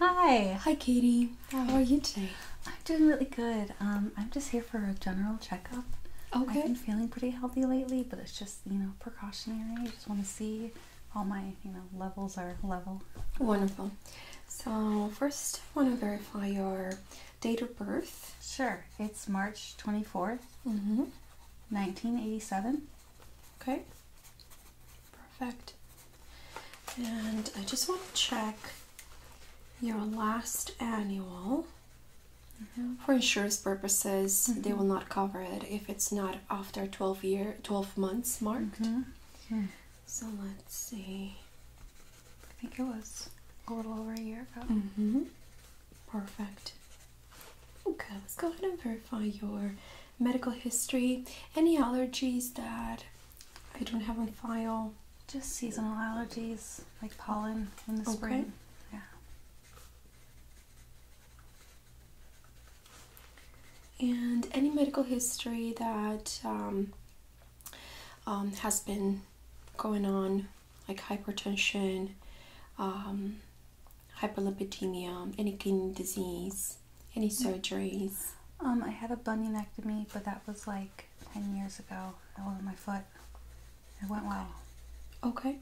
Hi. Hi, Katie. How are you today? I'm doing really good. Um, I'm just here for a general checkup. Okay. I've been feeling pretty healthy lately, but it's just you know precautionary. I just want to see all my you know levels are level. Wonderful. So first, I want to verify your date of birth? Sure. It's March 24th, 1987. Mm-hmm. Okay. Perfect. And I just want to check your last annual. Mm-hmm. For insurance purposes, they mm-hmm. will not cover it if it's not after 12 year 12 months marked. Hmm. So let's see. I think it was a little over a year ago. Perfect. Okay, let's go ahead and verify your medical history. Any allergies that I don't have on file? Just seasonal allergies like pollen in the okay. spring. Yeah. And any medical history that um, um, has been going on like hypertension, um, hyperlipidemia, any kidney disease, any surgeries? Um, I had a bunionectomy, but that was like 10 years ago. That was my foot. It went well. Okay.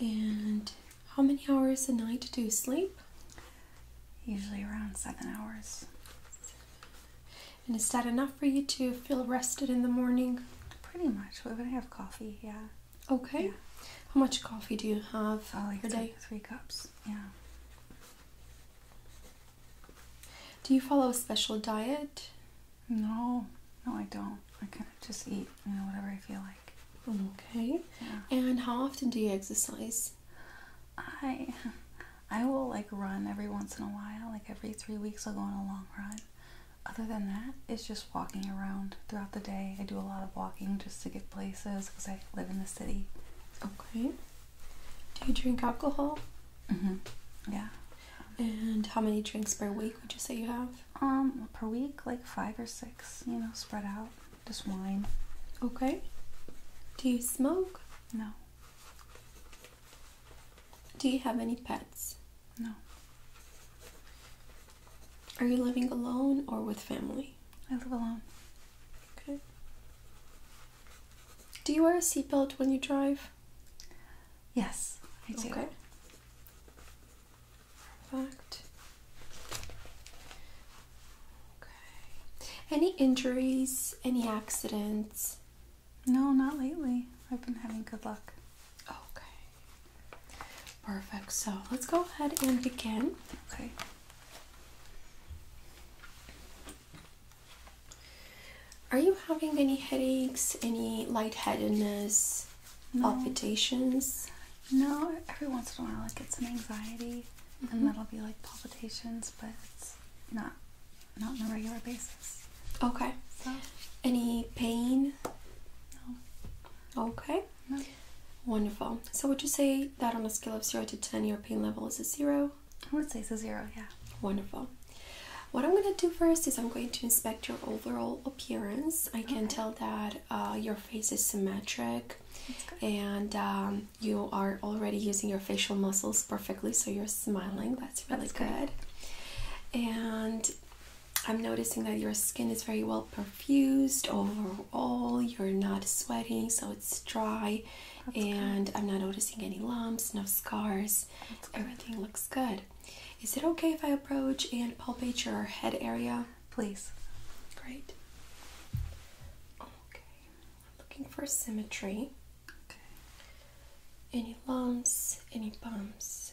Yeah. And how many hours a night do you sleep? Usually around seven hours. And is that enough for you to feel rested in the morning? Pretty much. What would I have coffee, yeah. Okay. How much coffee do you have oh, three, day? Three cups. Yeah. Do you follow a special diet? No, no, I don't. I kind of just eat, you know, whatever I feel like. Okay. Yeah. And how often do you exercise? I, I will like run every once in a while. Like every three weeks, I'll go on a long run. Other than that, it's just walking around throughout the day. I do a lot of walking just to get places because I live in the city. Okay. Do you drink alcohol? Mm-hmm. Yeah. And how many drinks per week would you say you have? Um, per week, like five or six, you know, spread out. Just wine. Okay. Do you smoke? No. Do you have any pets? No. Are you living alone or with family? I live alone. Okay. Do you wear a seatbelt when you drive? Yes, I do. Okay. Perfect. Okay. Any injuries? Any accidents? No, not lately. I've been having good luck. Okay. Perfect. So let's go ahead and begin. Okay. Are you having any headaches, any lightheadedness, palpitations? No, every once in a while I get some anxiety, and mm-hmm. that'll be like palpitations, but it's not not on a regular basis. Okay. So. Any pain? No. Okay. No. Wonderful. So would you say that on a scale of zero to ten, your pain level is a zero? I would say it's a zero. Yeah. Wonderful. What I'm going to do first is I'm going to inspect your overall appearance. I can tell that uh, your face is symmetric and um, you are already using your facial muscles perfectly, so you're smiling. That's really good. And I'm noticing that your skin is very well perfused overall. You're not sweating, so it's dry. That's and I'm not noticing any lumps, no scars. Everything looks good. Is it okay if I approach and palpate your head area? Please. Great. Okay. I'm looking for symmetry. Any lumps, any bumps?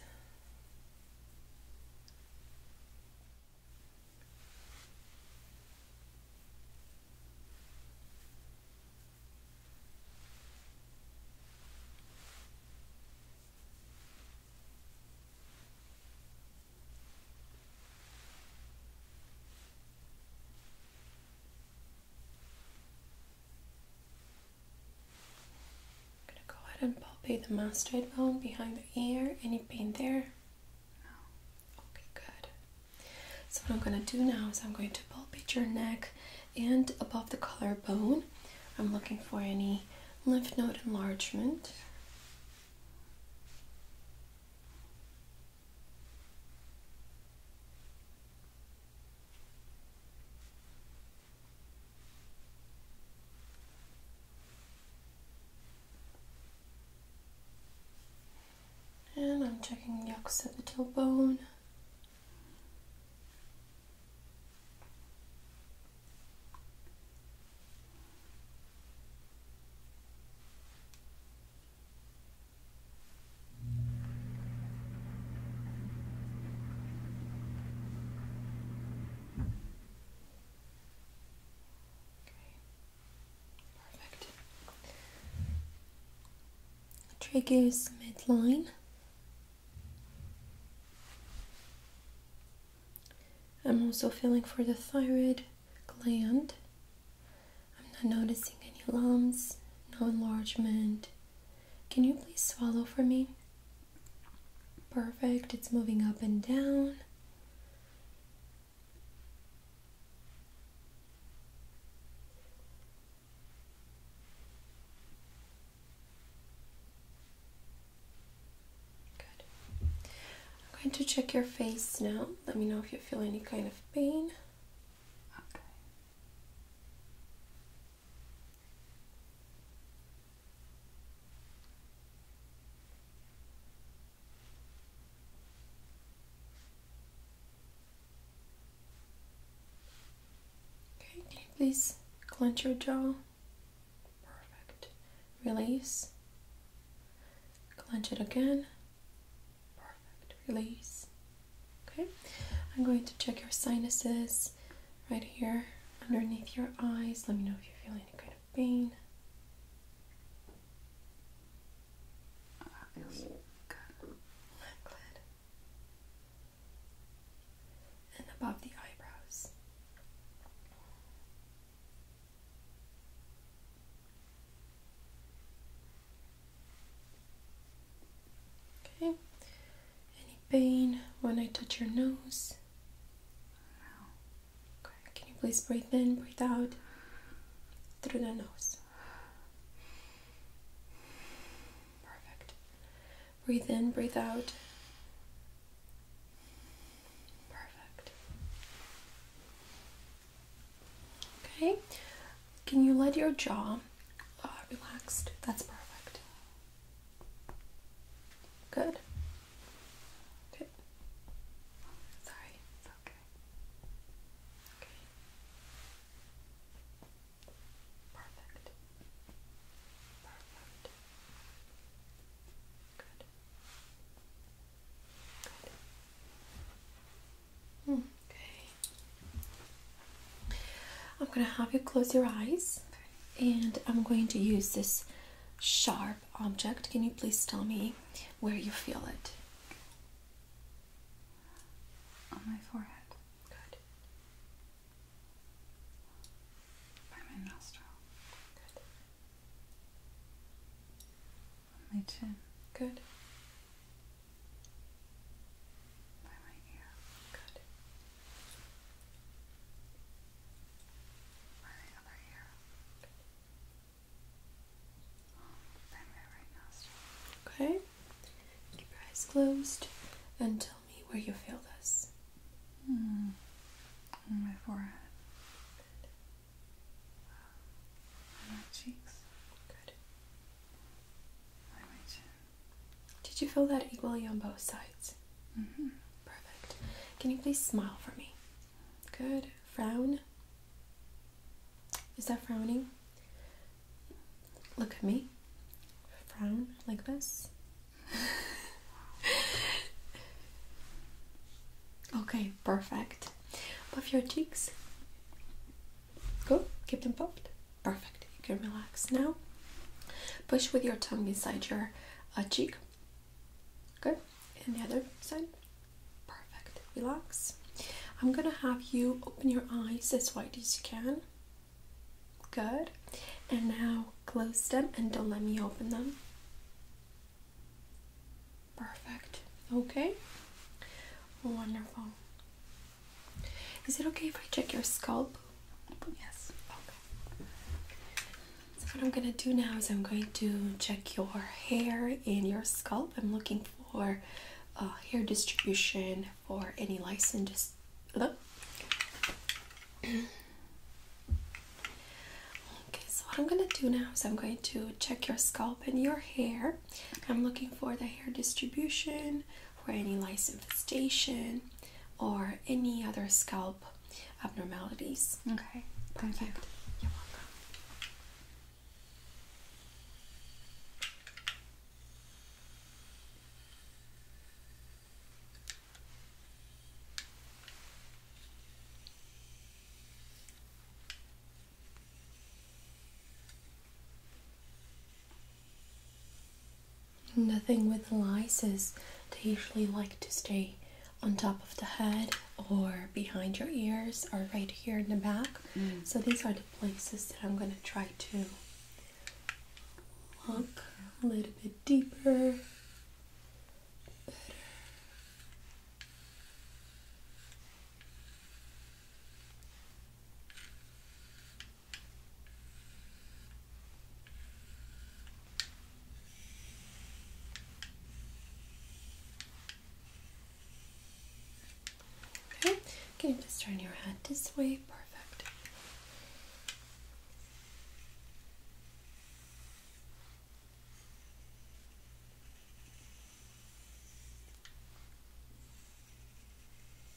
I'm gonna go ahead and palpate the mastoid bone behind the ear. Any pain there? No. Okay, good. So what I'm gonna do now is I'm going to palpate your neck and above the collarbone. I'm looking for any lymph node enlargement. And I'm checking the occipital bone. Perfect. Triggers midline. I'm also feeling for the thyroid gland. I'm not noticing any lumps, no enlargement, can you please swallow for me? Perfect. It's moving up and down. Good. I'm going to check your face now. Let me know if you feel any kind of pain. Okay, can you please clench your jaw? Perfect. Release. Clench it again. Perfect. Release. Okay, I'm going to check your sinuses right here underneath your eyes. Let me know if you feel any kind of pain. Oh, that feels good. Good. And above the eyebrows. Okay. Any pain when I touch your nose? No. Okay. Can you please breathe in, breathe out through the nose? Perfect. Breathe in, breathe out. Perfect. Okay. Can you let your jaw uh, relaxed? That's perfect. Good. Good. Sorry, it's okay. Okay. Perfect. Perfect. Good. Good. Hmm. Okay. I'm going to have you close your eyes and I'm going to use this sharp object. Can you please tell me where you feel it? On my forehead. Good. By my nostril. Good. On my chin. Good. By my ear. Good okay. Keep your eyes closed and tell me where you feel this. Hmm. On my forehead. Good. On my cheeks. Good. On my chin. Did you feel that equally on both sides? Mm-hmm. Perfect. Can you please smile for me? Good. Frown. Is that frowning? Look at me. Frown like this. okay, perfect. Puff your cheeks. Go, keep them puffed. Perfect. You can relax now. Push with your tongue inside your uh, cheek. Good. And the other side. Perfect. Relax. I'm gonna have you open your eyes as wide as you can. Good. And now close them and don't let me open them. Perfect. Okay. Wonderful. Is it okay if I check your scalp? Yes. Okay. So what I'm gonna do now is I'm going to check your hair and your scalp. I'm looking for uh, hair distribution for any lice and just look. Okay, so what I'm gonna do now is I'm going to check your scalp and your hair. I'm looking for the hair distribution for any lice infestation or any other scalp abnormalities. Okay, perfect. You're welcome. Nothing with lice is They usually like to stay on top of the head or behind your ears or right here in the back. Mm. So these are the places that I'm going to try to look a little bit deeper. Okay, can you just turn your head this way? Perfect.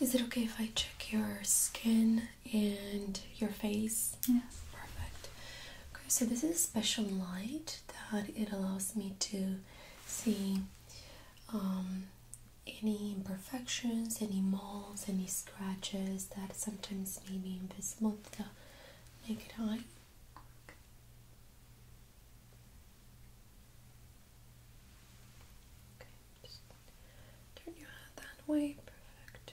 Is it okay if I check your skin and your face? Yes. Perfect. Okay, so this is a special light that it allows me to see um, any imperfections, any moles, any scratches that sometimes may be invisible with naked eye. turn your head that way. Perfect.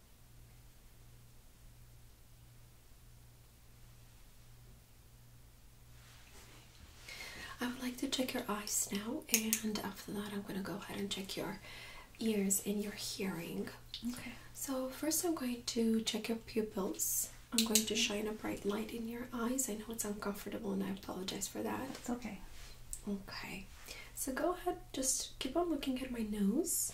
I would like to check your eyes now, and after that, I'm going to go ahead and check your ears and your hearing. Okay. So, first, I'm going to check your pupils. I'm going to shine a bright light in your eyes. I know it's uncomfortable and I apologize for that. It's okay. Okay. So, go ahead, just keep on looking at my nose.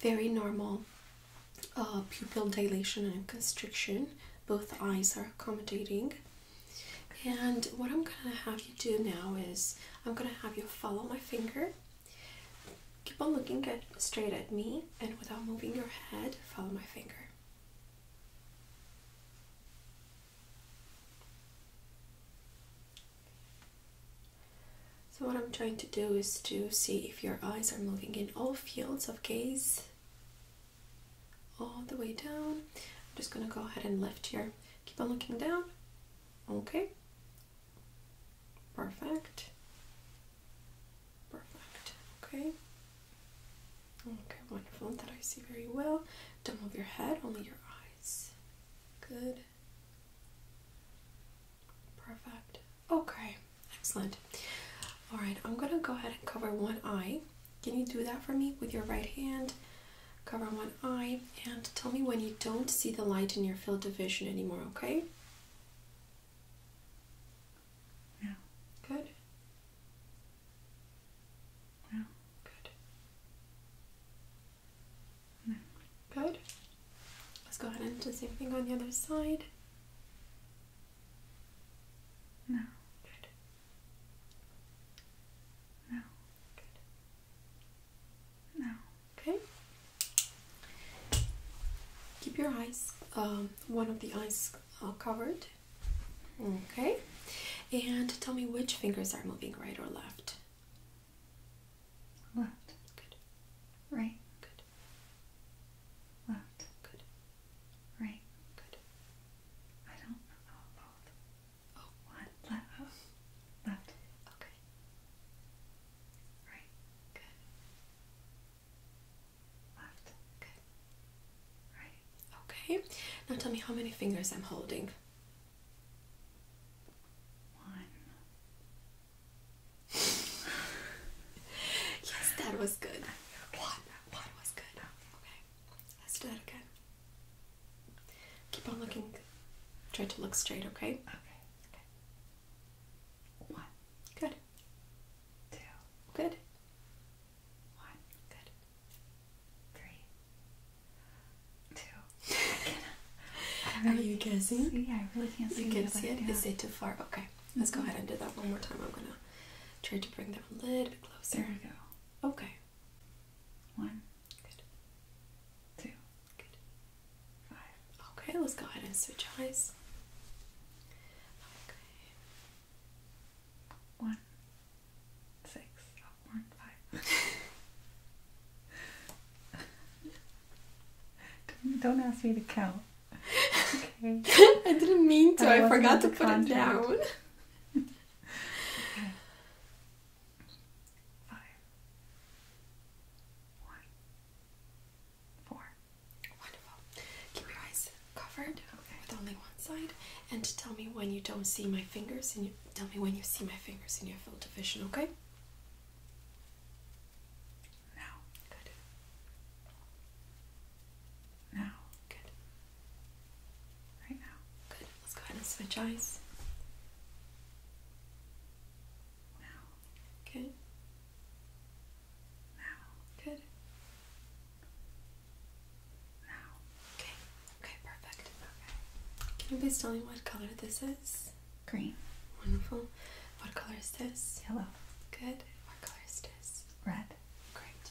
Very normal uh, pupil dilation and constriction. Both eyes are accommodating. And what I'm gonna have you do now is I'm gonna have you follow my finger. Keep on looking at straight at me and without moving your head, follow my finger. So what I'm trying to do is to see if your eyes are moving in all fields of gaze all the way down. I'm just gonna go ahead and lift here. Keep on looking down. Okay. Perfect. Perfect. Okay. Okay, wonderful. That I see very well. Don't move your head, only your eyes. Good. Perfect. Okay, excellent. All right, I'm gonna go ahead and cover one eye. Can you do that for me with your right hand? Cover one eye and tell me when you don't see the light in your field of vision anymore, okay? No. Good. No. Good. Good. Let's go ahead and do the same thing on the other side. No. No. No. Okay. Keep your eyes, um, one of the eyes uh, covered. Okay. And tell me which fingers are moving, right or left? Left. Good. Right. Good. Left. Good. Right. Good. I don't know both. Oh, Left. Oh. Left. Okay. Right. Good. Left. Good. Right. Okay. Now tell me how many fingers I'm holding. One, yes, that was good. Okay. One, was good. Okay, let's do that again. Keep on looking. Try to look straight, okay? Okay. One. Good. Two. Good. One. Good. Three. Two. Are you guessing? See, I really can't see. You can see it. Is it too far? Okay. Let's go ahead and do that one more time. I'm going to try to bring that a little bit closer. There we go. Okay. One. Good. Two. Good. Five. Okay, let's go ahead and switch eyes. Okay. One. Six. Oh, one, five. don't ask me to count. I didn't mean to. I, forgot to put it down. okay. Wonderful. Keep your eyes covered okay. with only one side, and tell me when you don't see my fingers, and you tell me when you see my fingers in your field of vision. Okay. Now, good. Now, good. Right now, good. Let's go ahead and switch eyes. Now, good. Now, good. Now, okay. Okay, perfect. Okay. Can you please tell me what color this is? Green. Wonderful. What color is this? Yellow. Good. Red. Great.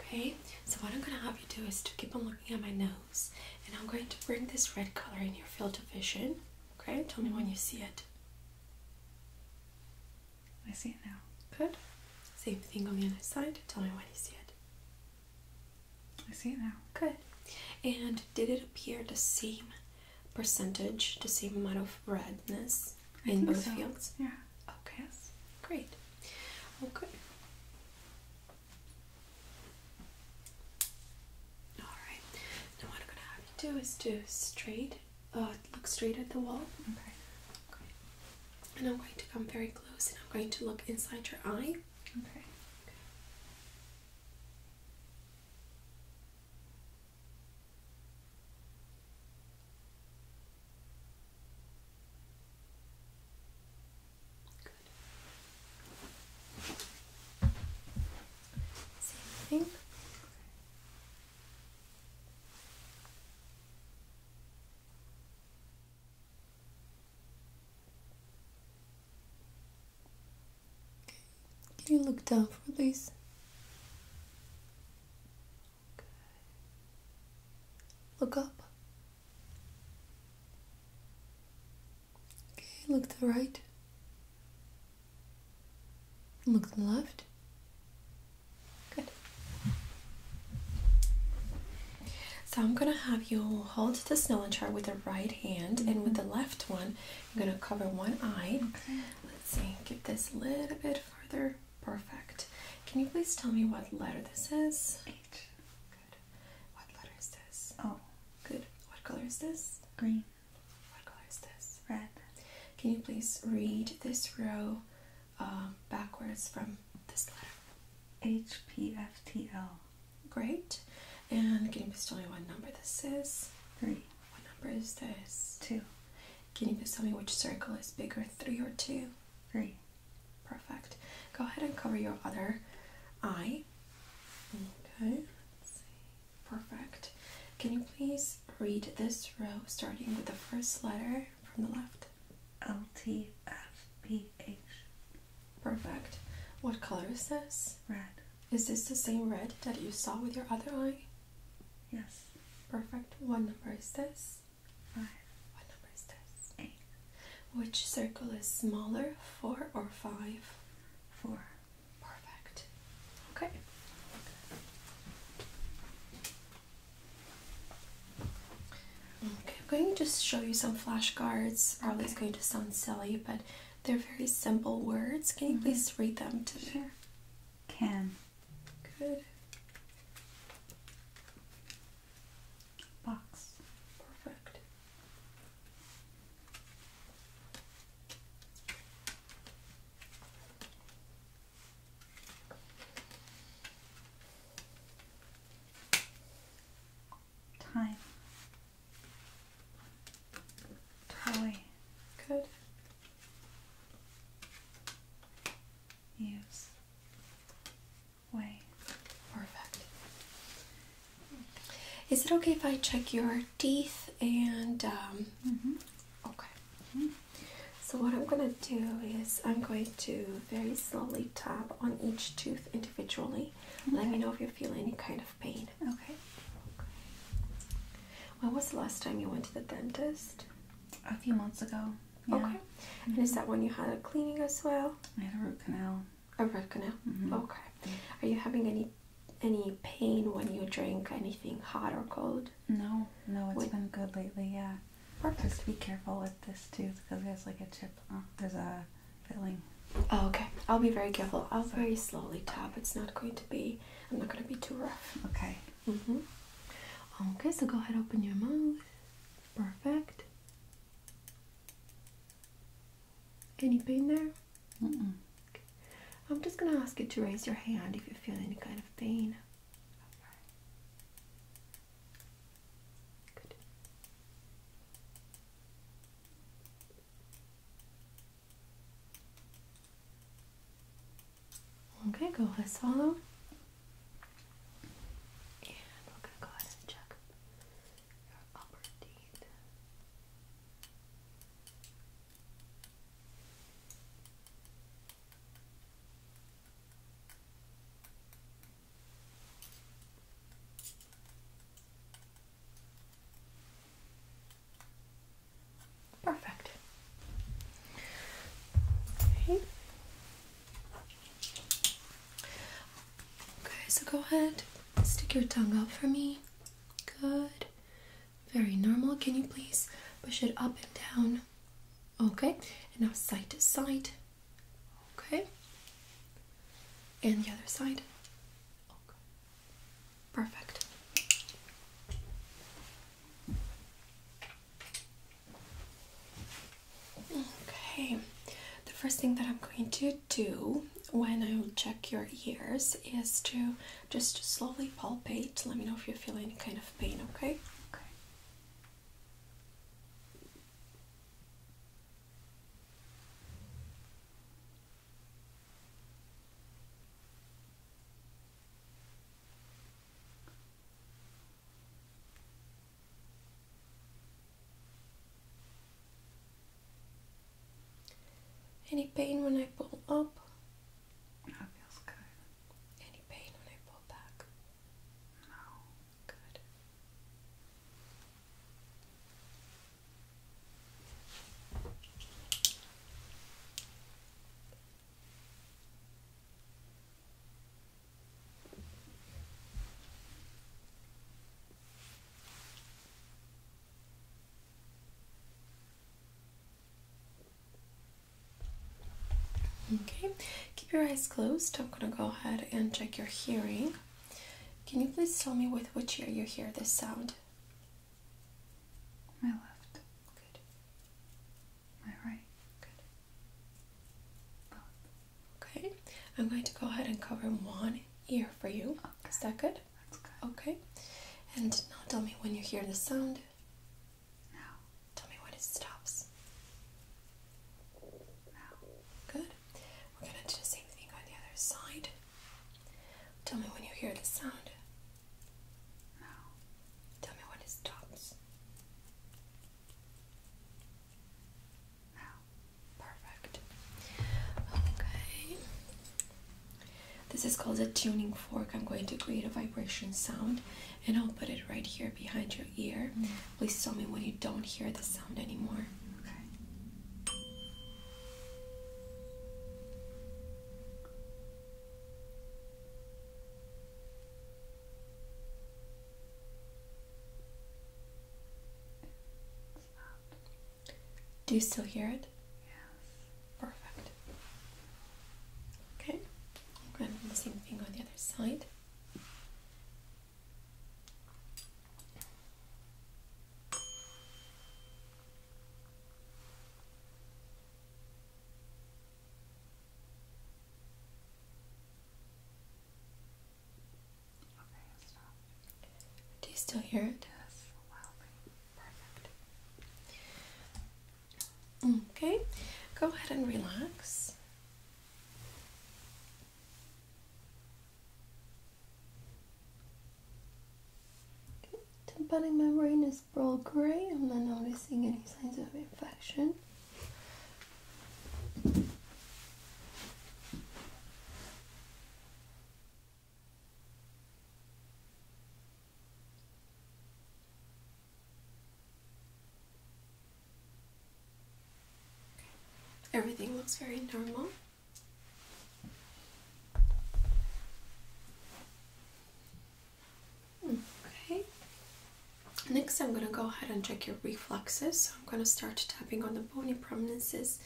Okay, so what I'm going to have you do is to keep on looking at my nose, and I'm going to bring this red color in your field of vision. Okay, tell me when mm-hmm. you see it. I see it now. Good. Same thing on the other side. Tell me when you see it. I see it now. Good. And did it appear the same percentage the same amount of redness in both fields? Yeah. Okay. Great. Okay. Alright. Now what I'm gonna have you do is do straight uh look straight at the wall. Okay. Okay. And I'm going to come very close and I'm going to look inside your eye. Okay. Okay. Good. Same thing. Can you look down for me, Look up. Okay, look to the right. Look to the left. Good. So I'm gonna have you hold the snow chart with the right hand and with mm-hmm. the left one I'm gonna cover one eye. Let's see, get this a little bit further. Perfect. Can you please tell me what letter this is? H. Good. What letter is this? O. Good. What color is this? Green. What color is this? Red. Can you please read this row um, backwards from this letter? H P F T L. Great. And can you please tell me what number this is? Three. What number is this? Two. Can you just tell me which circle is bigger, three or two? Three. Perfect. Go ahead and cover your other eye. Okay, Perfect. Can you please read this row starting with the first letter from the left? L T F P H. Perfect. What color is this? Red. Is this the same red that you saw with your other eye? Yes. Perfect. What number is this? Five. What number is this? Eight. Which circle is smaller, four or five? Four. Perfect. Okay. Okay, I'm going to just show you some flashcards. Probably okay. it's going to sound silly, but they're very simple words. Can you mm-hmm. please read them to me? Sure. Can. Good. Box. Perfect. Time. Toy. Good use way. Perfect. Is it okay if I check your teeth and um, mm-hmm. okay. So what I'm gonna do is I'm going to very slowly tap on each tooth individually. Let me know if you feel any kind of pain. okay. When was the last time you went to the dentist? A few months ago. Okay. And is that when you had a cleaning as well? I had a root canal. A root canal. Mm-hmm. Okay. Are you having any any pain when you drink anything hot or cold? No, no, it's been good lately. Yeah. Perfect. Just be careful with this tooth because there's like a chip. Uh, there's a filling. Oh, okay. I'll be very careful. I'll very slowly tap. It's not going to be. I'm not going to be too rough. Okay. Mm -hmm. Okay, so go ahead, open your mouth. Perfect. Any pain there? Mm I'm just gonna ask you to raise your hand if you feel any kind of pain. Good. Okay, go ahead, swallow. And go ahead check your upper teeth. Perfect. Okay. Okay, so go ahead, stick your tongue out for me. Good. Very normal. Can you please push it up and down? Okay. And now side to side. Okay. And the other side. Okay. Perfect. Okay, the first thing that I'm going to do when I will check your ears is to just slowly palpate. Let me know if you feel any kind of pain, okay? Okay. Any pain when I pull up? That feels good. Any pain when I pull back? No. Good. Okay, keep your eyes closed. I'm gonna go ahead and check your hearing. Can you please tell me with which ear you hear this sound? My left. Good. Am I Good. Okay. I'm going to go ahead and cover one ear for you. Okay. Is that good. Okay. And now tell me when you hear the sound. Now. Tell me when it stops. Now. Good. We're gonna do the same thing on the other side. Tell me when you hear the sound. Now, tell me what is dots. Now, perfect. Okay. This is called a tuning fork. I'm going to create a vibration sound and I'll put it right here behind your ear. Please tell me when you don't hear the sound anymore. Okay. Do you still hear it? Yes. Perfect. Okay. I'm going to do the same thing on the other side. Do you still hear it? Okay, go ahead and relax. Okay, i my brain all pearl gray. I'm not noticing any signs of infection. Everything looks very normal. Okay. Next, I'm going to go ahead and check your reflexes. So I'm going to start tapping on the bony prominences.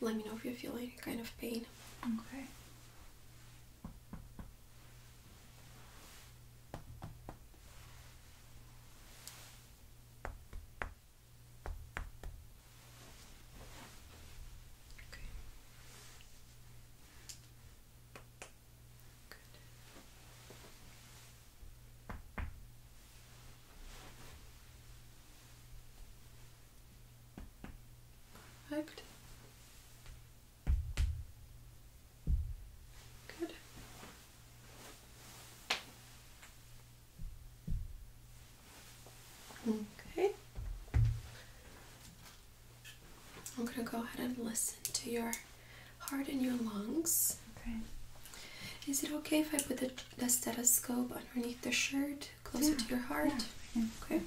Let me know if you feel any kind of pain. Okay. Good. Good. Okay. I'm going to go ahead and listen to your heart and your lungs. Okay. Is it okay if I put the, stethoscope underneath the shirt, closer to your heart? Perfect.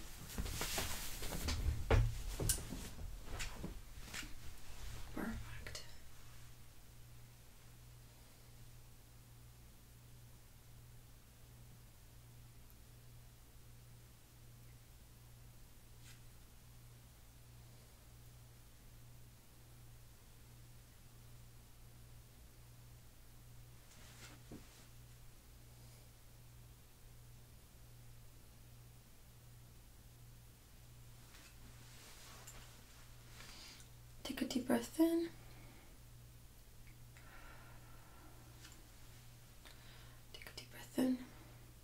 Take a deep breath in. Take a deep breath in.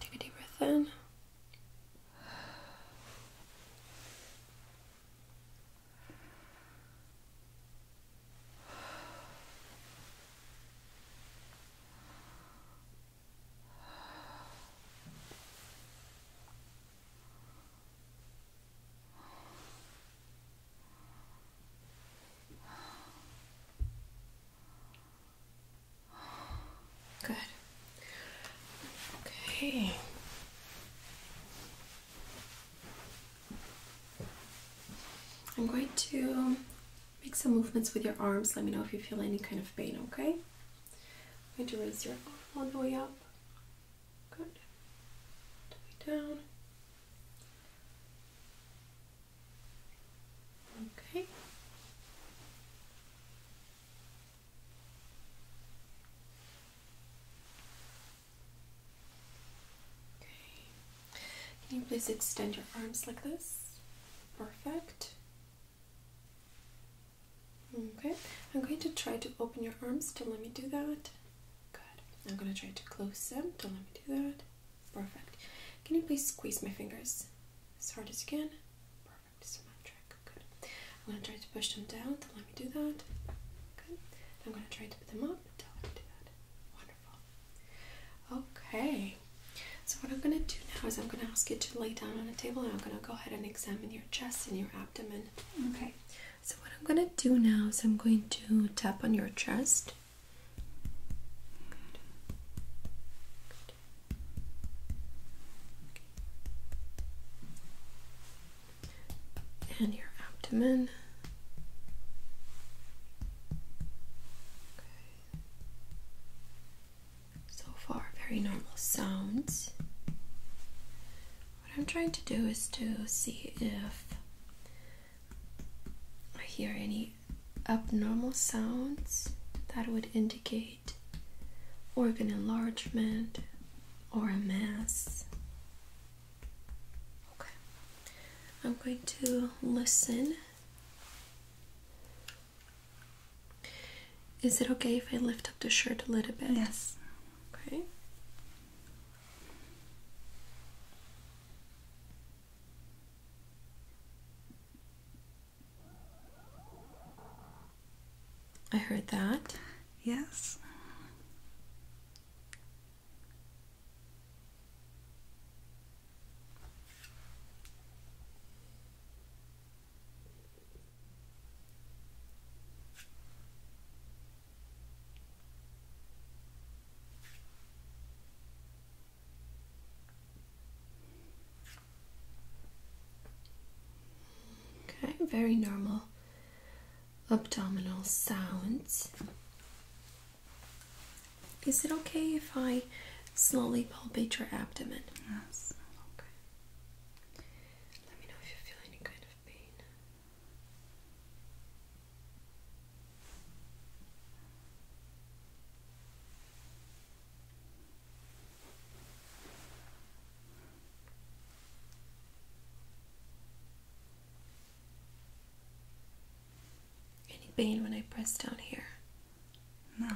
Take a deep breath in. Good. Okay. I'm going to make some movements with your arms. Let me know if you feel any kind of pain, okay? I'm going to raise your arm all the way up. Good. All the way down. Okay. Can you please extend your arms like this? Perfect. Okay, I'm going to try to open your arms. Don't let me do that. Good. I'm going to try to close them. Don't let me do that. Perfect. Can you please squeeze my fingers as hard as you can? symmetric, good. I'm gonna try to push them down, don't let me do that. Good. I'm gonna try to put them up, don't let me do that. Wonderful. Okay. So what I'm gonna do now is I'm gonna ask you to lay down on a table and I'm gonna go ahead and examine your chest and your abdomen. Okay. So what I'm gonna do now is I'm going to tap on your chest. And your abdomen. Okay. So far, very normal sounds. What I'm trying to do is to see if I hear any abnormal sounds that would indicate organ enlargement, or a mass. Okay, I'm going to listen. Is it okay if I lift up the shirt a little bit? Yes. Okay. I heard that. Yes. Okay, very normal abdominal sounds. Is it okay if I slowly palpate your abdomen? Yes. Let me know if you feel any kind of pain. Any pain when I press down here? No.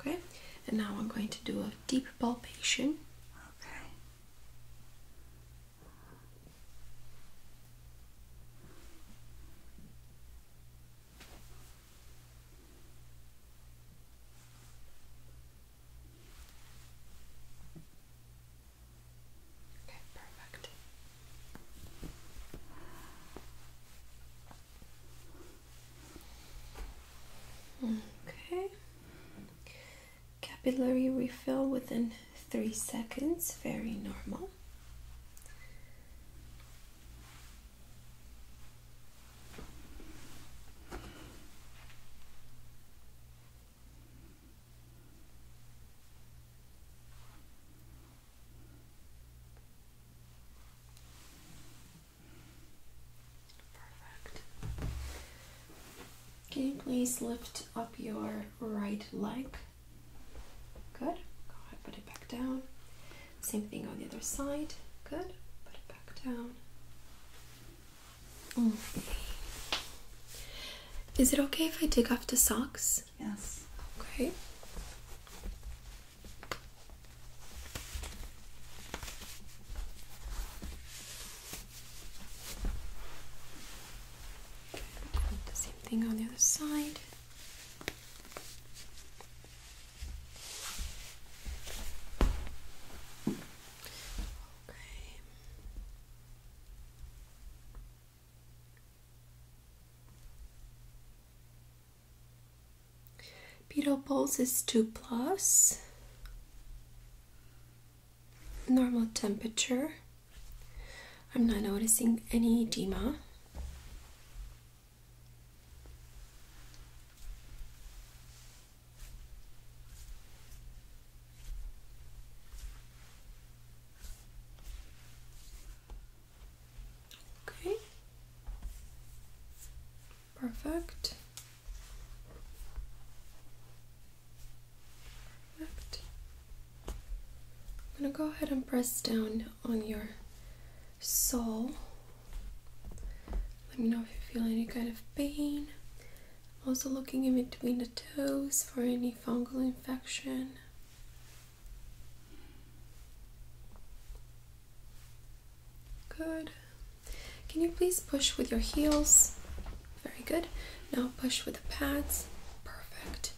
Okay, and now I'm going to do a deep palpation. Okay. Okay, perfect. Okay. Capillary refill within three seconds, very normal. Can you please lift up your right leg? Good. put it back down. Same thing on the other side. Good. Put it back down. Is it okay if I take off the socks? Yes. Okay same thing on the other side. Okay. Beetle Pulse is 2 plus. Normal temperature. I'm not noticing any edema. Okay. Perfect. Perfect. I'm going to go ahead and press down on your sole. Let me know if you feel any kind of pain. also looking in between the toes for any fungal infection. Good. Can you please push with your heels? Very good. Now push with the pads. Perfect.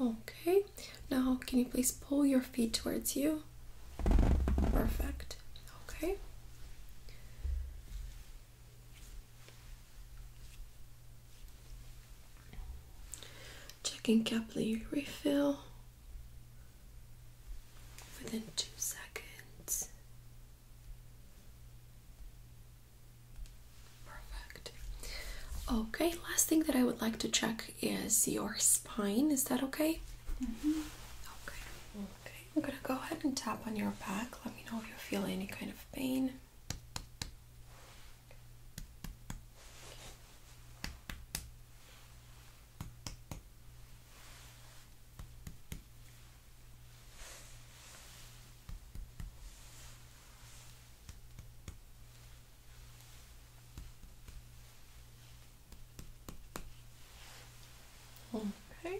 Okay. Now, can you please pull your feet towards you? Perfect. Okay. Checking capillary refill within two seconds. Perfect. Okay, last thing that I would like to check is your spine. Is that okay? -hmm. Okay. Okay. I'm gonna go ahead and tap on your back. Let me know if you feel any kind of pain. Okay,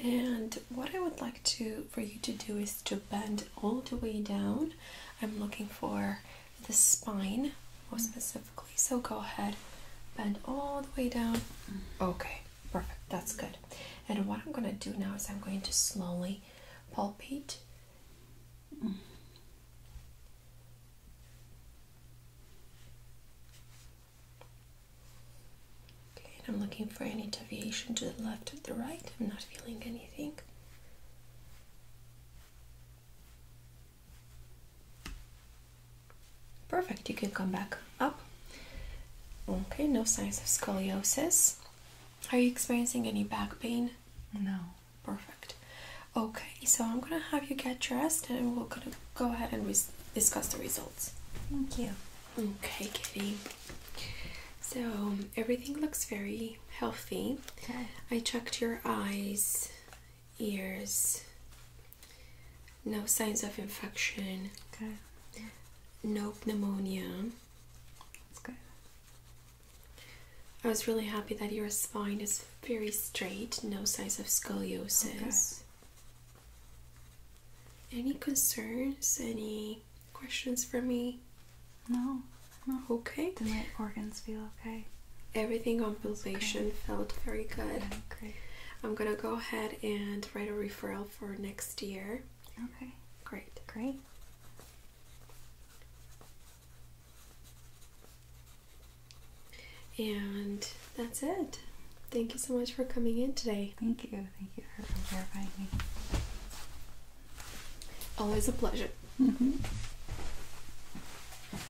and what I would like to for you to do is to bend all the way down. I'm looking for the spine more specifically. So go ahead, bend all the way down. Okay, perfect. That's good. And what I'm going to do now is I'm going to slowly palpate. Okay, and I'm looking for any deviation to the left or the right. I'm not feeling anything. Perfect, you can come back up. Okay, no signs of scoliosis. Are you experiencing any back pain? No. Perfect. Okay, so I'm gonna have you get dressed and we're gonna go ahead and discuss the results. Thank you. Okay, Kitty. So um, everything looks very healthy. Okay. I checked your eyes ears. No signs of infection. Okay. No pneumonia. That's good. I was really happy that your spine is very straight, no signs of scoliosis. Okay. Any concerns? Any questions for me? No. no. Okay. Do my organs feel okay? everything on completion felt very good. Okay. I'm gonna go ahead and write a referral for next year. Okay. Great. Great. And that's it. Thank you so much for coming in today. Thank you. Thank you for verifying me. Always a pleasure. Mm-hmm.